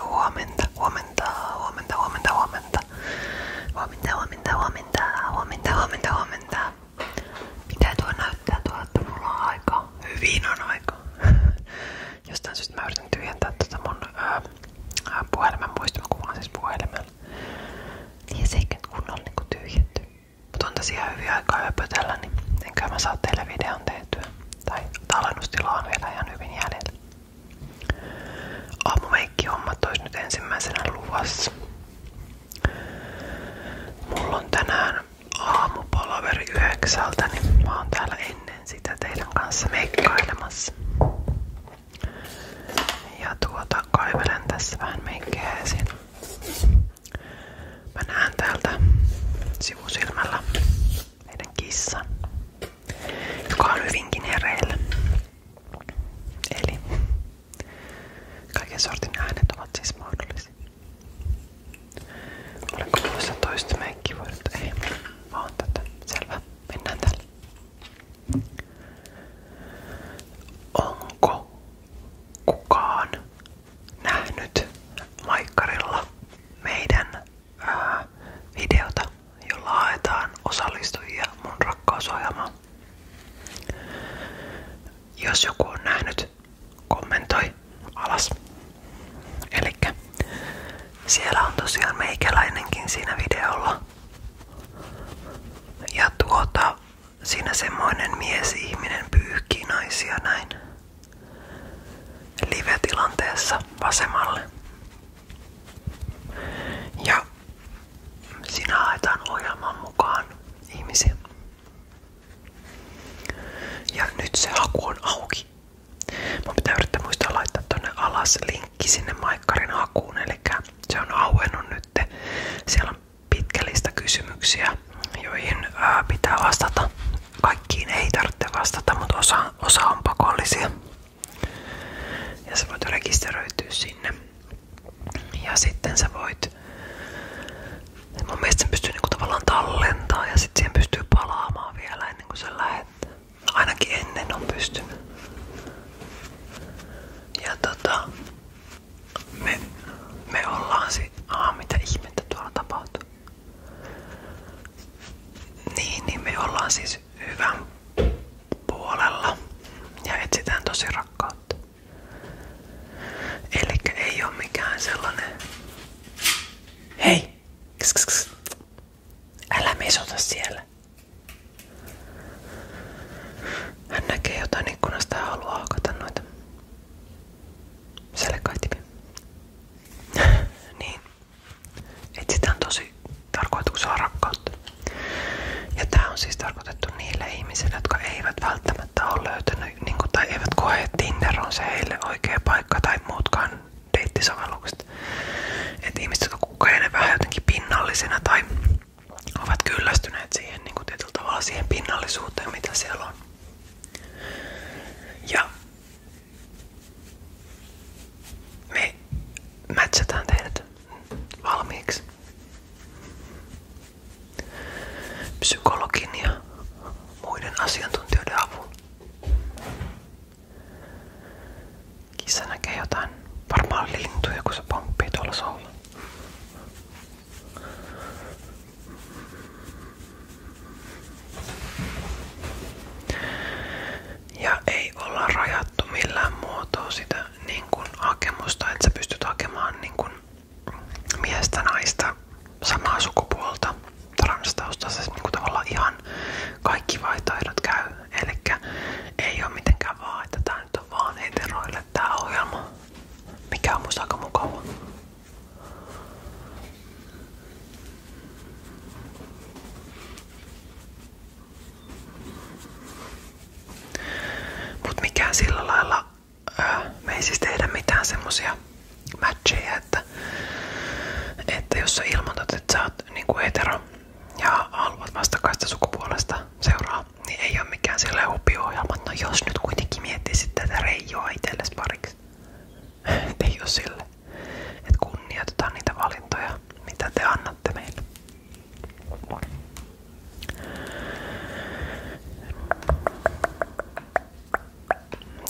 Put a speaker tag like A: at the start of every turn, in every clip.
A: Huomenta, huomenta, huomenta, huomenta, huomenta. Huomenta, huomenta, huomenta, huomenta, huomenta, huomenta. Mitä tuo näyttää tuo, että mulla on aika? Hyvin on aika. Jostain syystä mä yritän tyhjentää tätä tota mun ää, siis puhelimen Niin se ei kunnolla niinku tyhjenty. Mut tässä ihan hyvin aikaa höpötellä, niin enkä mä saa teille videon tehtyä tai tallennustila on vielä ihan hyvin jäljellä. Aamumeikkihommat olisi nyt ensimmäisenä luvassa. Mulla on tänään aamupalaveri yhdeksältä, niin mä oon täällä ennen sitä teidän kanssa meikkailemassa. Ja tuota, kaivelen tässä vähän meikkejä esiin. Mä näen täältä sivusilmällä meidän kissa, joka on hyvinkin hereillä. Eli kaiken sortin äänet ovat siis mahdollisia. Olenko tuossa toista meikkivuodelta? Ei, vaan tätä. Selvä, mennään tälle. Onko kukaan nähnyt maikkarilla meidän ää, videota, jolla haetaan osallistujia mun rakkausohjelmaan. Jos joku on nähnyt, kommentoi alas. Elikkä siellä on tosiaan meikäläinenkin siinä videolla. Ja tuota, siinä semmoinen mies-ihminen pyyhkii naisia näin live-tilanteessa vasemmalle. Ja sinä haetaan ohjelman mukaan ihmisiä. Ja nyt se haku on auki. Mun pitää yrittää muistaa laittaa tonne alas linkki sinne Maikkarin hakuun. Eli se on auennut nyt. Siellä on pitkälistä kysymyksiä, joihin pitää vastata kaikkiin ei tarvitse vastata, mutta osa, osa on pakollisia. Ja sä voit rekisteröityä sinne. Ja sitten sä voit, mun mielestä sen pystyy niinku tavallaan tallentaa ja sitten siihen pystyy palaamaan vielä ennen kuin sä lähet. No, ainakin ennen on pystynyt. Ja tota, me, me ollaan sit, aa mitä ihmettä tuolla tapahtuu. Niin, niin me ollaan siis hyvän puolella ja etsitään tosi rakkautta. Eli ei ole mikään sellainen. Hei! Kss, kss, kss. Älä mesota siellä. Hän näkee jotain ikkunasta ja haluaa hakata noita. Selkäitimi. niin etsitään tosi tarkoituksella rakkautta. Ja tämä on siis tarkoitettu niille ihmisille, jotka eivät välttämättä ole löytänyt niin eivät koe, että Tinder paikka tai muutkaan deittisovellukset. Että ihmiset, jotka kokee ne vähän pinnallisena tai ovat kyllästyneet siihen niin kuin tietyllä pinnallisuuteen, mitä siellä on. Ja me mätsätään teidät valmiiksi. Psykologin ja muiden asiantuntijoiden avulla. Kissa näkee jotain varmaan lintuja, kun se pomppii tuolla solla. Ja ei olla rajattu millään muotoa sitä niin kun, hakemusta, että sä pystyt hakemaan niin kun, miestä, naista, samaa sukupuolta, transtaustaisessa niin tavallaan ihan kaikki vaihtoehdot käy. Eli ei ole mitenkään vaan, että tää nyt on vaan heteroille tää ohjelma, mikä on musta aika mukava. Mut mikään sillä lailla, ää, ei siis mitään semmosia matcheja, että, että jos sä ilmoitat, että sä niinku hetero ja haluat vastakkaista sukupuolesta seuraa, niin ei ole mikään sillä hupiohjelma, no jos nyt kuitenkin miettisit tätä reijoa itsellesi pariksi. Ei ole sille, että niitä valintoja, mitä te annatte meille.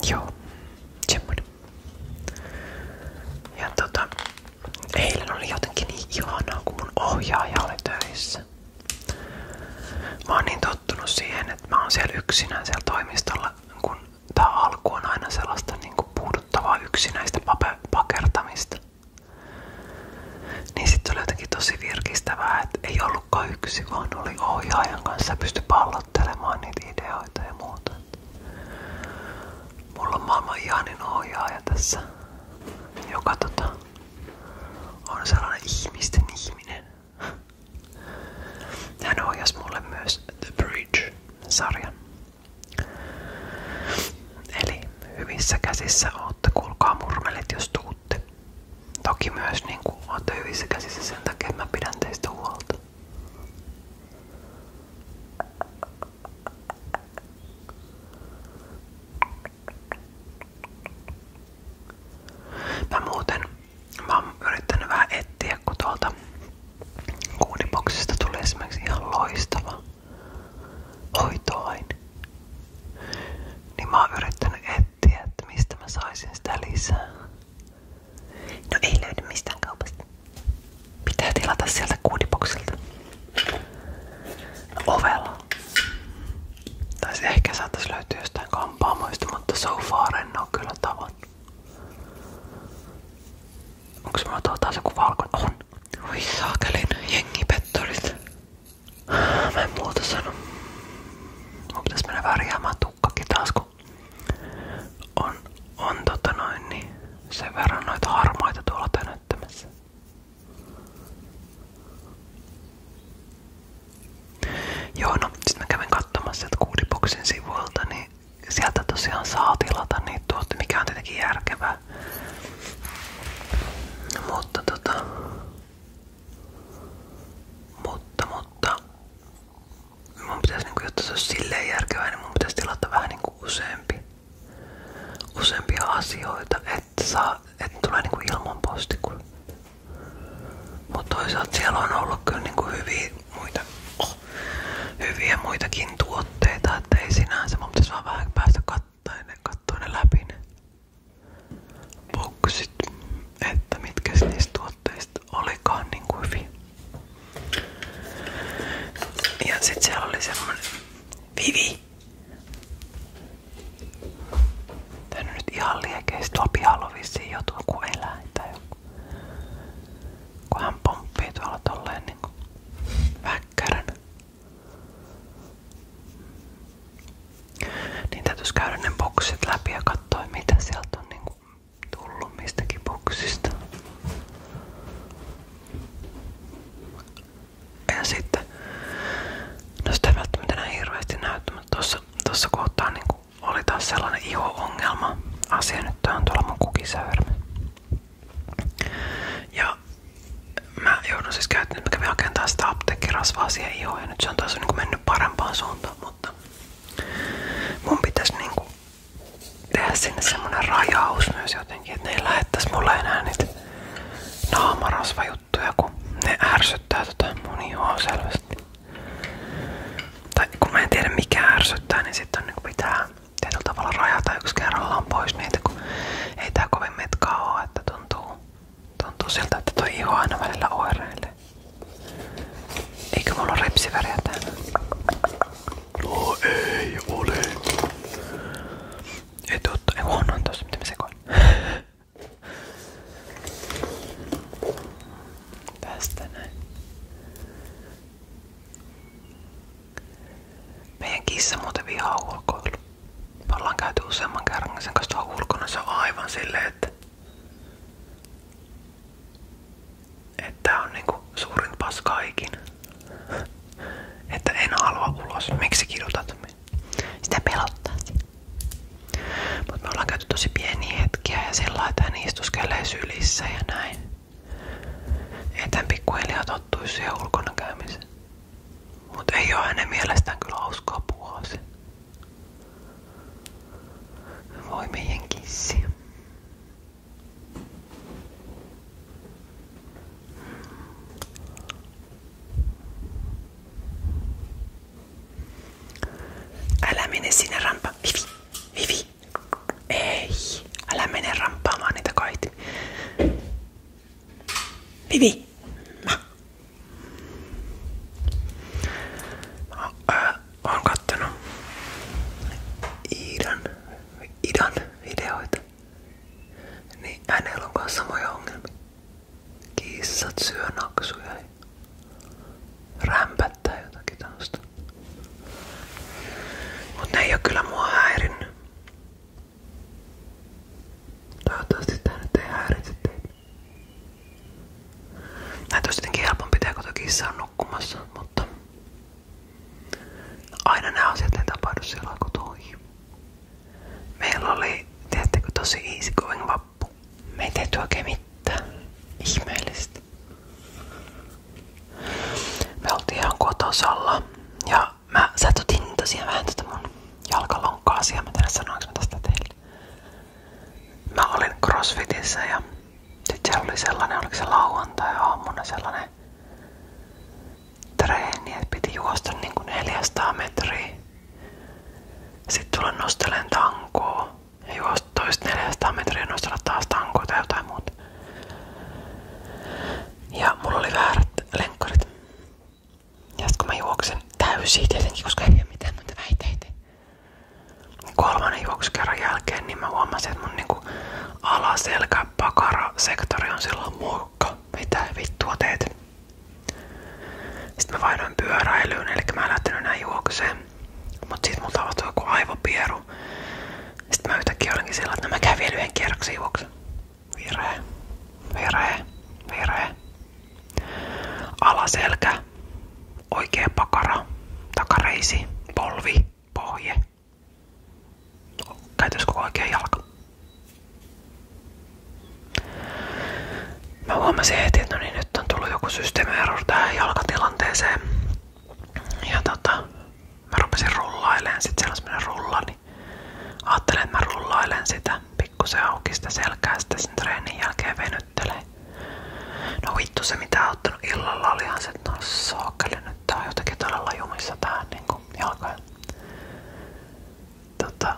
A: Joo, semmoinen. Ja tota, eilen oli jotenkin niin kun mun ohjaaja oli töissä. Mä oon niin tottunut siihen, että mä oon siellä yksinään siellä toimistolla, kun tää alku on aina sellaista niin kuin puuduttavaa yksinäistä pakertamista. Niin sitten oli jotenkin tosi virkistävää, että ei ollutkaan yksi, vaan oli ohjaajan kanssa pysty pallottelemaan niitä ideoita ja muuta. Mulla on maailman ihanin ohjaaja tässä, joka tota, on sellainen ihmisten ihminen. Hän ohjasi mulle myös The Bridge-sarjan. Eli hyvissä käsissä ootte, kuulkaa murmelit jos tuutte. Toki myös niin kuin ootte hyvissä käsissä sen takia, mä pidän teistä huolta. Mä muuten Mä yrittänyt vähän etsiä, kun tuolta kuuniboksista loistava hoitoaine. Niin mä yrittänyt etsiä, että mistä mä saisin sitä lisää. No ei löydy mistään kaupasta. Pitää tilata sieltä kuudiboksilta. Ovella. Tai ehkä saattaisi löytyä jostain hampaamoista, mutta so far en oo kyllä tavannut. Onks mulla tuo taas joku valkoinen? On. Oi saakelin jengipettorit. Mä en muuta sano. Mun pitäis mennä värjäämään tukkakin taas, kun on, on tota noin, niin sen verran noita harmaita tuolla tönöttämässä. Joo, no sit mä kävin katsomassa sieltä Kuudiboksin sivuilta, niin sieltä tosiaan saa tilata niitä tuotteita, mikä on tietenkin järkevää. Mutta tota... Mutta, mutta... Mun pitäisi, niinku, jotta se olisi silleen järkevää, niin mun pitäisi tilata vähän niinku useampi, useampia asioita. Et että saa, et tulee niinku ilman posti. Mutta toisaalta siellä on ollut kyllä niinku hyviä, muita, oh, hyviä muitakin tuotteita, että ei sinänsä, mun pitäisi vaan vähän päästä katsomaan ne, katsoa ne läpi ne boksit, että mitkä niistä tuotteista olikaan niinku hyviä. Ja sit siellä oli semmonen Vivi. Tän on nyt ihan liekeis. Tuolla pihalla on vissiin joku eläin tai joku. Kun hän pomppii tuolla tolleen niinku väkkäränä. Niin täytyis käydä ne boksit läpi ja katsoa mitä sieltä on niinku tullut mistäkin boksista. Ja sitten, no sitä ei välttämättä näin hirveästi mutta tossa, tossa kohtaa niin oli taas sellainen iho Asia nyt tää on tuolla Ja mä joudun siis käyttämään, mä kävin hakemaan sitä apteekkirasvaa siihen nyt se on taas niin mennyt parempaan suuntaan, mutta mun pitäisi niin tehdä sinne semmonen rajaus myös jotenkin, että ne ei lähettäisi mulle enää niitä naamarasvajuttuja, kun ne ärsyttää tota mun ihoa selvästi. Tai kun mä en tiedä mikä ärsyttää, niin sitten niin pitää tietyllä tavalla rajata yksi kerrallaan pois niitä, kun ei tää kovin metkaa oo, että tuntuu, tuntuu siltä, että toi iho aina välillä oireilee. Eikö mulla ole ripsiväriä täällä? No ei ole. Ei totta, ei huonoin tossa, mitä mä sekoin. Tästä näin. Meidän kissa muuten vihaa ulkoilu. Me käyty useamman kerran niin sen kanssa ulkona. Se on aivan silleen, että että on niinku suurin paska Että en halua ulos. Miksi kidutat? huomioon. Sitä pelottaa siinä. Mutta me ollaan käyty tosi pieniä hetkiä ja sillä että hän istuskelee sylissä ja näin. Että hän pikkuhiljaa tottuisi siihen ulkona käymiseen. Mutta ei ole hänen mielestään kyllä hauskaa puhua se. Voi meidän kissi. Älä mene sinne rampaan. Vivi, Vivi. Ei, älä mene ramppaamaan niitä kaitimia. Vivi. Mä. Mä äh, oon kattonut Iidan, Iidan videoita. Niin hänellä on myös samoja ongelmia. Kissat syö naksuja ja jotakin tämmöstä. Mut ne ei oo kyllä mua häirinnyt. Toivottavasti tää nyt ei häiritse teitä. kun kissa on mutta aina nämä asiat ei tapahdu silloin, kun toihin. Meillä oli, tiedättekö, tosi easy going vappu. Me ei tehty oikein mitään. Ihmeellistä. Me oltiin ihan kotosalla ja mä sätytin tosiaan vähän tätä mun jalkalonkkaa asiaa. Mä tiedän sanoinko mä tästä teille. Mä olin crossfitissä ja sit siellä oli sellainen, oliko se lauantai aamuna sellainen treeni, piti juosta niin kuin 400 metriä. Sitten tulla nostelen tankoa ja juosta toista 400 ja nostella taas tankoa tai jotain muuta. Ja mulla oli väärät lenkkarit. Ja sitten kun mä koska ei ole mitään muita väiteitä. Kolmannen juoksukerran jälkeen niin mä huomasin, että mun niinku alaselkä pakara sektori on silloin muokka. Mitä vittua teet? Sitten mä vaihdoin pyöräilyyn, eli mä en lähtenyt enää juokseen. Mut sit mulla tapahtui joku aivopieru. Sitten mä yhtäkkiä olinkin sillä, että no mä käyn vielä yhden kierroksen juoksen. Virhe, virhe, virhe. Alaselkä, oikea pakara, takareisi, polvi, pohje. Käytös koko oikea jalka. Mä huomasin heti, että no niin, nyt on tullut joku systeemierror tähän jalkatilanteeseen. Ja tota, mä rupesin rullailemaan, sit siellä on semmonen rulla, niin ajattelin, että mä rullailen sitä pikkusen auki sitä selkää, sitä sen treenin jälkeen venyttelee. No vittu se mitä ottanut illalla olihan se, että no saakeli nyt tää on jotenkin todella jumissa tää niinku jalkoja tota,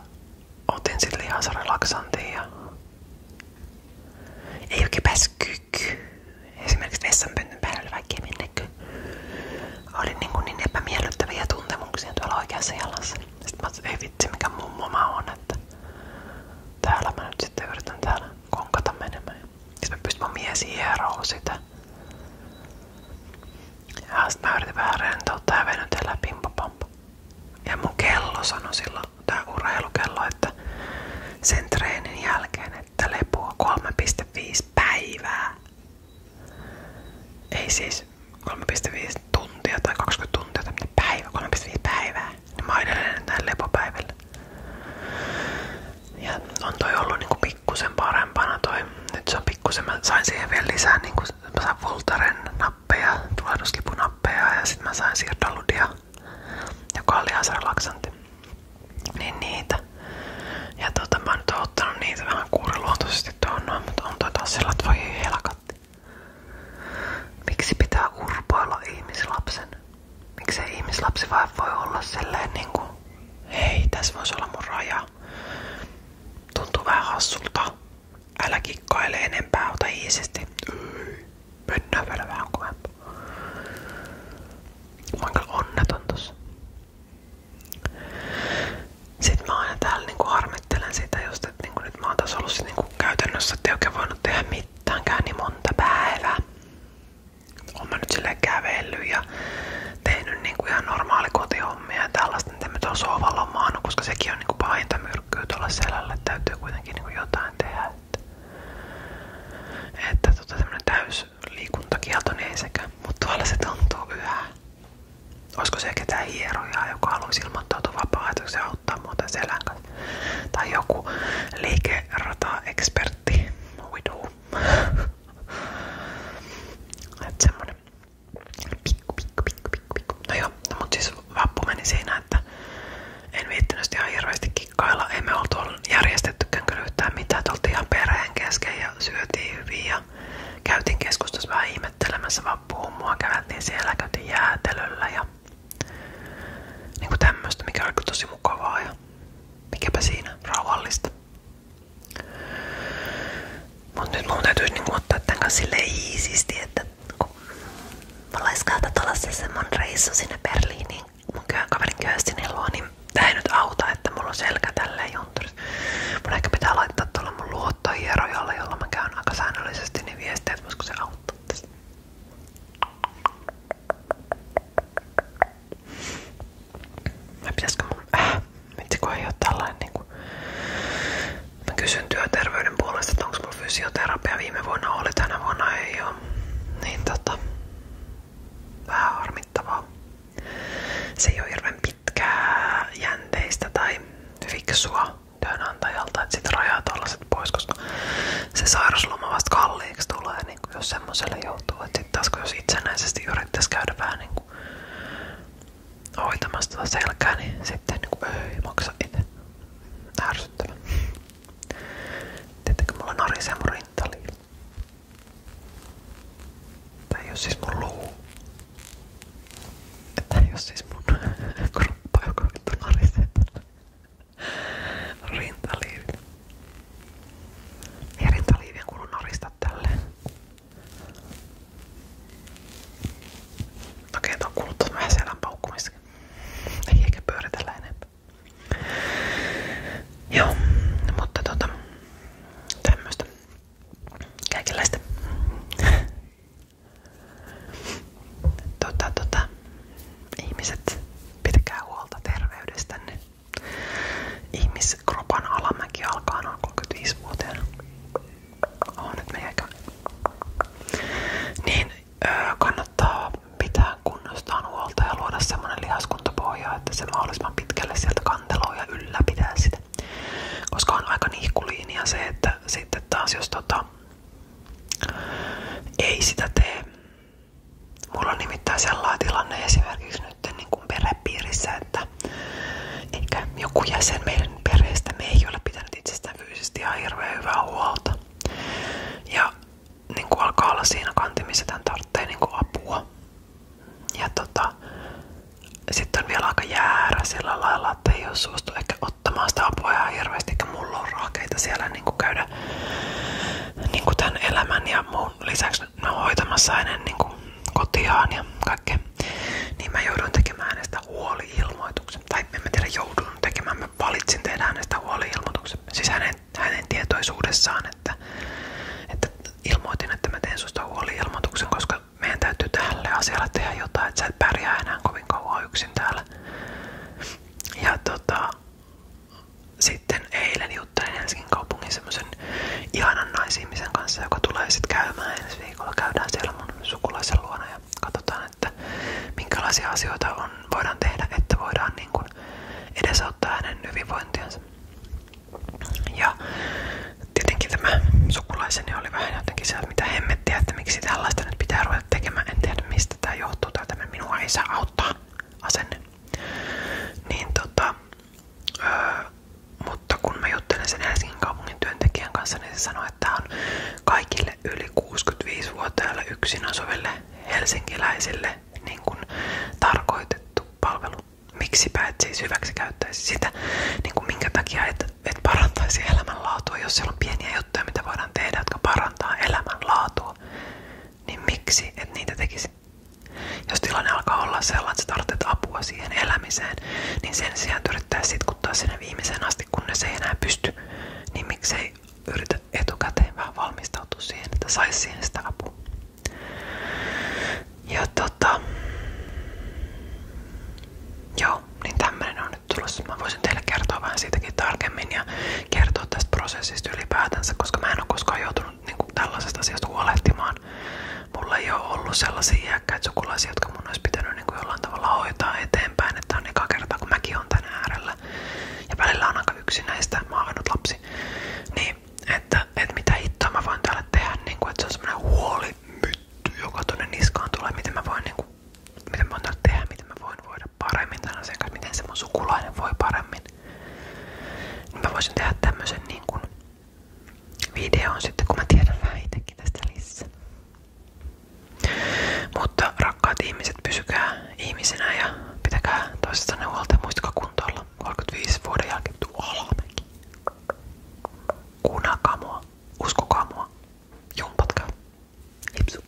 A: otin sille ihan relaksantin ja ei oikein päässyt kyky. Esimerkiksi vessanpöntön päälle vaikka minnekö. Oli niin, kuin niin epämiellyttäviä tuntemuksia tuolla oikeassa jalassa. Sitten mä että ei vitsi mikä mummo mä oon, että täällä mä nyt sitten yritän täällä konkata menemään. Sitten mä pystyn mun mies hieroo sitä. Ja sit mä yritin vähän rentouttaa ja venytellä pimpapampa. Ja mun kello sanoi silloin, tää urheilukello, että sen treenin jälkeen, että lepua 3,5 päivää. Ei siis 3,5 tuntia tai 20 tuntia tai päivä, 3,5 päivää. Niin mä edelleen lepopäivillä. Ja on toi ollut niinku pikkusen parempana toi. Nyt se on pikkusen, mä sain siihen vielä lisää niinku mä sain Voltaren nappeja, tulehduskipunappeja ja sitten mä sain siirtoludia, joka on lihasrelaksantti. Niin niitä. Ja tota mä nyt oon ottanut niitä vähän kuuriluontoisesti tuohon noin, mutta on toi taas sillä, että voi helkatti. Miksi pitää urpoilla ihmislapsen? Miksi ihmislapsi vaan voi olla silleen niinku Hei, tässä voisi olla mun raja. Tuntuu vähän hassulta. Älä kikkaile enempää, ota iisisti. Mennään vielä vähän kovempaa. Mä oon onneton tossa. Sitten mä aina täällä niinku harmittelen sitä just, että niinku nyt mä oon taas ollut niinku käytännössä, ettei oikein voinut tehdä mitäänkään niin monta päivää oon nyt silleen kävellyt ja tehnyt niinku normaali kotihommia ja tällaista, mitä mä tuon sohvalla koska sekin on niinku pahinta myrkkyä tuolla selällä, että täytyy kuitenkin niinku jotain tehdä. Että, että tota semmonen täysliikuntakielto niin ei mutta tuolla se tuntuu yhä. Olisiko se ketään hierojaa, joka haluaisi ilmoittautua vapaaehtoisesti ja auttaa muuten selän Tai joku liikerata-ekspertti. We do. Et semmonen pikku, pikku, pikku, pikku, pikku. No joo, no mut siis vappu meni siinä, että en viittinyt ihan hirveästi kikkailla. Ei me oltu järjestettykään kyllä yhtään mitään. Oltiin ihan perheen kesken ja syötiin hyvin ja käytiin keskustassa vähän ihmettelemässä vappuhummua. Käveltiin siellä, käytiin jäätelöllä ja niinku tämmöstä, mikä oli tosi mukavaa ja mikäpä siinä rauhallista. Mut nyt mun täytyy niinku ottaa tän kanssa silleen iisisti, että kun mulla olisi olla se semmonen reissu sinne Berliiniin mun kaverin Köstinin luo, niin tää ei nyt auta, että mulla on selkä tälleen juntturissa. Mun ehkä pitää laittaa tuolla mun luottohierojalle, jolla mä käyn aika säännöllisesti, niin viestiä, että voisiko se auttaa tässä. Mä pitäisikö mun... Äh, vitsi kun ei oo niin Mä kysyn työterveyden onko mulla fysioterapia viime vuonna oli, tänä vuonna ei Niin tota... Vähän harmittavaa. Se ei oo pitkää jänteistä tai fiksua työnantajalta, että sitten rajaa tollaset pois, koska se sairausloma vasta kalliiksi tulee, niin kuin jos semmoiselle joutuu. Että sitten taas kun jos itsenäisesti yrittäisi käydä vähän niin kuin hoitamassa tuota selkää, niin sitten niin kuin, ei maksa itse. Ärsyttävän. Tietenkin mulla narisee mun rintaliin. Tää ei oo siis mun luu. tai jos oo siis mun kroppa, joka vittu narisee rinta liiville. Herintaliivien kuuluu narista tälleen. Okei, tuon kuuluttaa vähän selän paukkumistakin. Ei eikä Joo, mutta tota, tämmöstä. Kaikenlaista. Tota, tota, ihmiset, pitäkää huolta terveydestänne. Ihmiskropan alamäki alkaa noin 35-vuotiaana. Oh, nyt meikä. Niin öö, kannattaa pitää kunnostaan huolta ja luoda semmonen lihaskuntapohja, että se mahdollisimman pitkälle sieltä kanteloo ja ylläpitää sitä. Koska on aika nihkuliinia se, että sitten taas jos tota, ei sitä tee Mulla on nimittäin sellainen tilanne esimerkiksi nyt niin kuin perhepiirissä, että joku jäsen meidän perheestä me pitänyt itsestään fyysisesti ihan huolta. Ja niin kuin alkaa olla siinä kantimissa, tämän tarvitsee niin apua. Ja tota, sitten on vielä sillä lailla, että ei ole suostu ottamaan sitä apua ihan eikä mulla on rahkeita siellä niin kuin käydä niin kuin tämän ja muun lisäksi mä oon hoitamassa hänen niin kuin, kotiaan ja kaikkea, niin mä joudun tekemään hänestä huoli-ilmoituksen. Tai en mä tiedä joudun tekemään, mä valitsin tehdä hänestä huoli-ilmoituksen. Siis hänen, hänen tietoisuudessaan, että, että ilmoitin, että mä teen susta huoli-ilmoituksen, koska meidän täytyy tälle asialle tehdä jotain, että sä et pärjää enää kovin kauan yksin täällä. Ja tota, sitten eilen juttelin Helsingin kaupungin semmoisen ihanan naisihmisen kanssa, joka tulee sitten käymään ensi viikolla. Käydään siellä mun sukulaisen luona ja katsotaan, että minkälaisia asioita on, voidaan tehdä, että voidaan niin kuin edesauttaa hänen hyvinvointiansa. Ja tietenkin tämä sukulaiseni oli vähän jotenkin se, mitä hemmettiä, että miksi tällaista nyt pitää ruveta tekemään. En tiedä mistä tämä johtuu tai tämä minua ei saa auttaa asenne. Niin tota, mutta kun mä juttelen sen Helsingin kanssa, niin se on kaikille yli 65-vuotiaille yksin asuville helsinkiläisille niin kun tarkoitettu palvelu. Miksipä et siis hyväksi sitä, niin kuin minkä takia et, et parantaisi elämänlaatua, jos siellä on pieniä juttuja, mitä voidaan tehdä, parantaa elämänlaatua, niin miksi et niitä tekisi? Jos tilanne alkaa olla sellainen, että tarvitset apua siihen elämiseen, niin sen sijaan yrittää sitkuttaa sinne viimeisen asti, kunnes ei enää pysty, niin miksei yritä etukäteen vähän valmistautua siihen, että saisi siihen sitä apua. Ja tota... Joo, niin tämmönen on nyt tulossa. Mä voisin teille kertoa vähän siitä jotenkin tarkemmin ja kertoa tästä prosessista ylipäätänsä, koska mä en ole koskaan joutunut niin kuin, tällaisesta asiasta huolehtimaan. Mulla ei ole ollut sellaisia iäkkäitä sukulaisia, jotka mun olisi pitänyt niin kuin, jollain tavalla hoitaa eteenpäin, että on eka kertaa, kun mäkin on tän äärellä. Ja välillä on aika yksinäistä, mä oon ainut lapsi. Niin, että, että mitä hittoa mä voin täällä tehdä, niin kuin, että se on semmoinen huolimytty, joka tuonne niskaan tulee, miten mä voin niin kuin, miten mä voin tehdä, miten mä voin voida paremmin tämän asian kanssa, miten se mun sukulainen voi paremmin niin mä voisin tehdä tämmöisen niin kuin videon sitten, kun mä tiedän vähän itsekin tästä lisää. Mutta rakkaat ihmiset, pysykää ihmisenä ja pitäkää toistanne huolta. Muistakaa kuntoilla 35 vuoden jälkeen tuu alamäki. Kuunnelkaa mua, uskokaa mua, jumpatkaa. Hipsu.